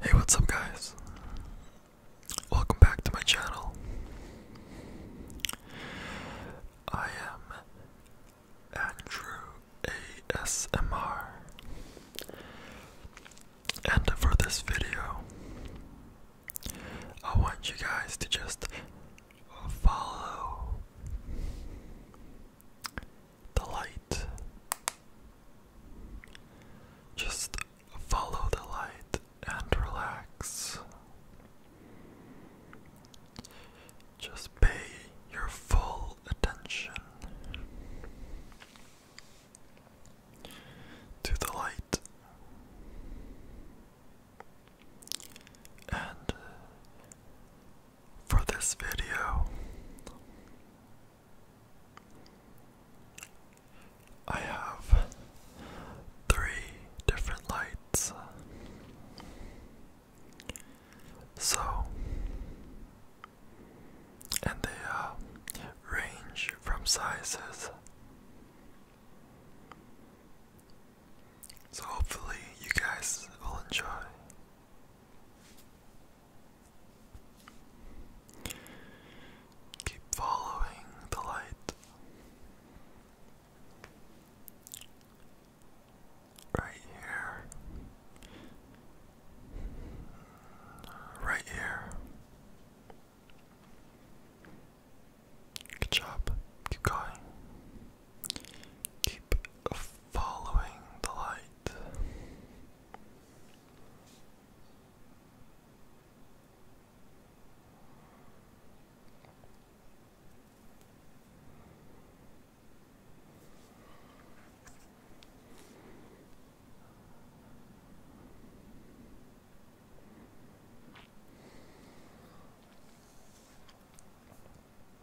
Hey, what's up, guys? Welcome back to my channel. I am Andrew ASMR, and for this video, I want you guys to just follow the light. Just follow the light and relax. Just pay your full attention to the light and for this video. I have three different lights. So, and they uh, range from sizes. So, hopefully, you guys will enjoy. Keep following the light. Right here. Right here. Good job. Keep going. Keep following the light.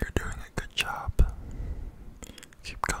You're doing a good job. Keep going.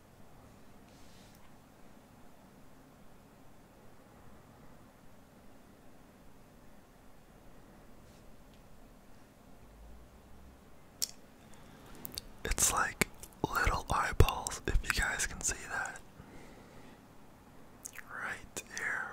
It's like little eyeballs, if you guys can see that. Right here.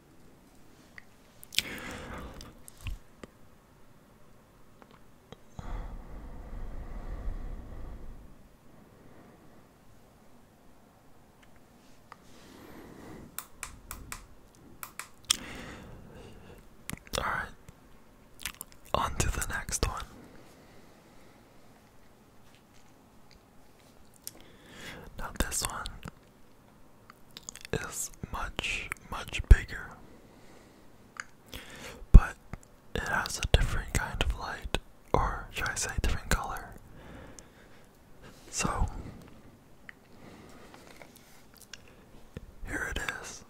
All right, on to the next one. Now, this one is much, much bigger. But it has a different kind of light, or should I say, different color. So, here it is.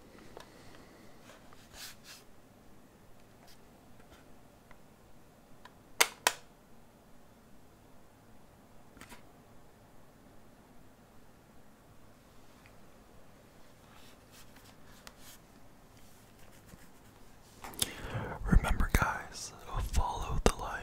Remember, guys, follow the light.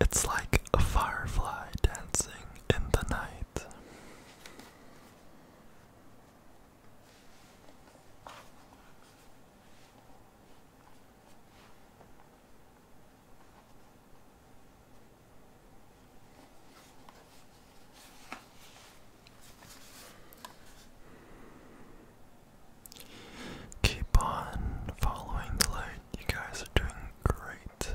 It's like a firefly dancing in the night. Keep on following the light. You guys are doing great.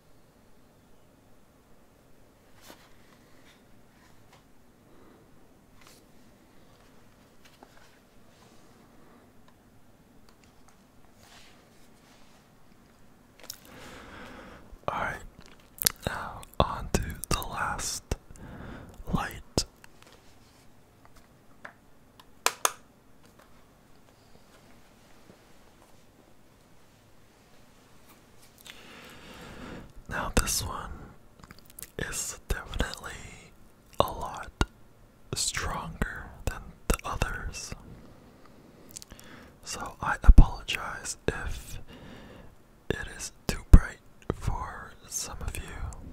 Alright, now on the last light. Now, this one is definitely a lot stronger than the others. So, I apologize if it is too bright for some of you.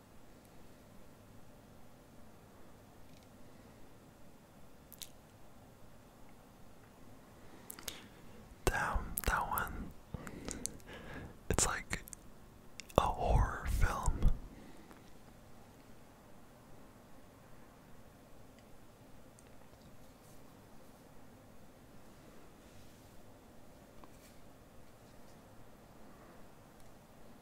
Damn, that one. It's like a horror film.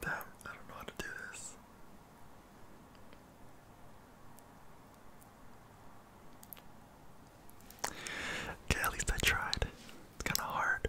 Damn, I don't know how to do this. Okay, at least I tried. It's kind of hard.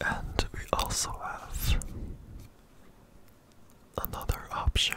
And we also have another option.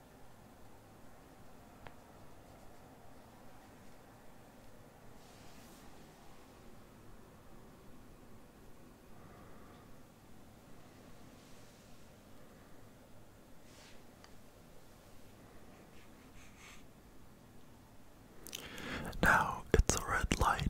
now it's a red light.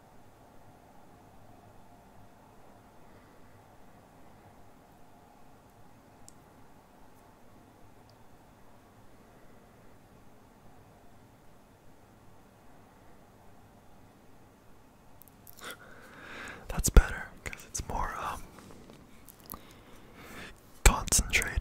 That's better because it's more um, concentrated.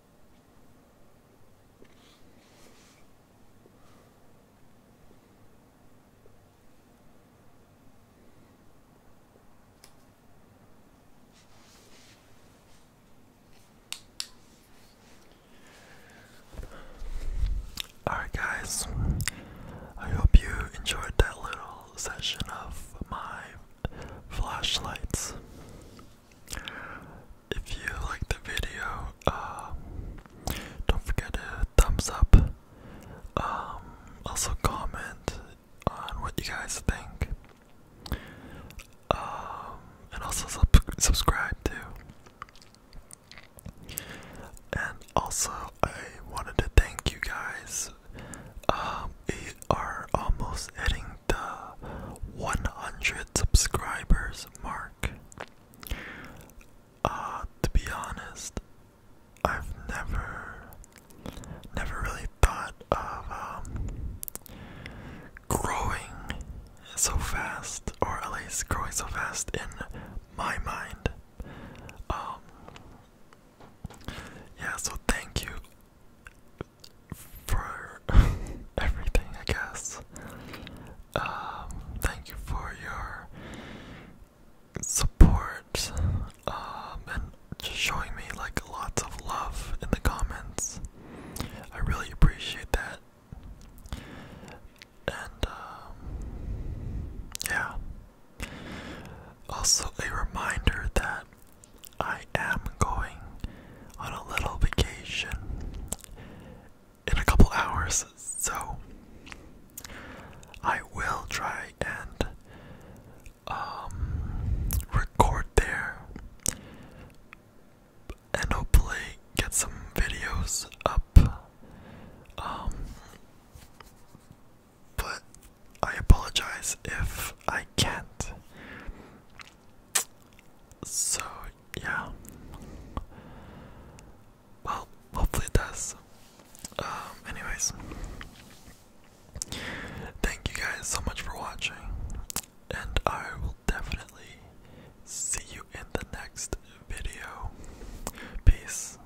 Alright, guys, I hope you enjoyed that little session of my flashlights. If you like the video, uh, don't forget to thumbs up. Um, also comment on what you guys think. Um, and also subscribe too. And also, I wanted to thank you guys um, we are almost hitting the 100 subscribers mark. Uh, to be honest, I've never, never really thought of um, growing so fast, or at least growing so fast in my mind. Um, yeah, so thank you for everything, I guess. Um, thank you for your support um, and just showing me like lots of love in the comments. I really appreciate that. And um, yeah. Also, a reminder that I am going on a little vacation in a couple hours, so I will try and um, record there and hopefully get some videos up. Um, but I apologize if I can't. So, yeah. Well, hopefully it does. Um, anyways, thank you guys so much for watching, and I will definitely see you in the next video. Peace.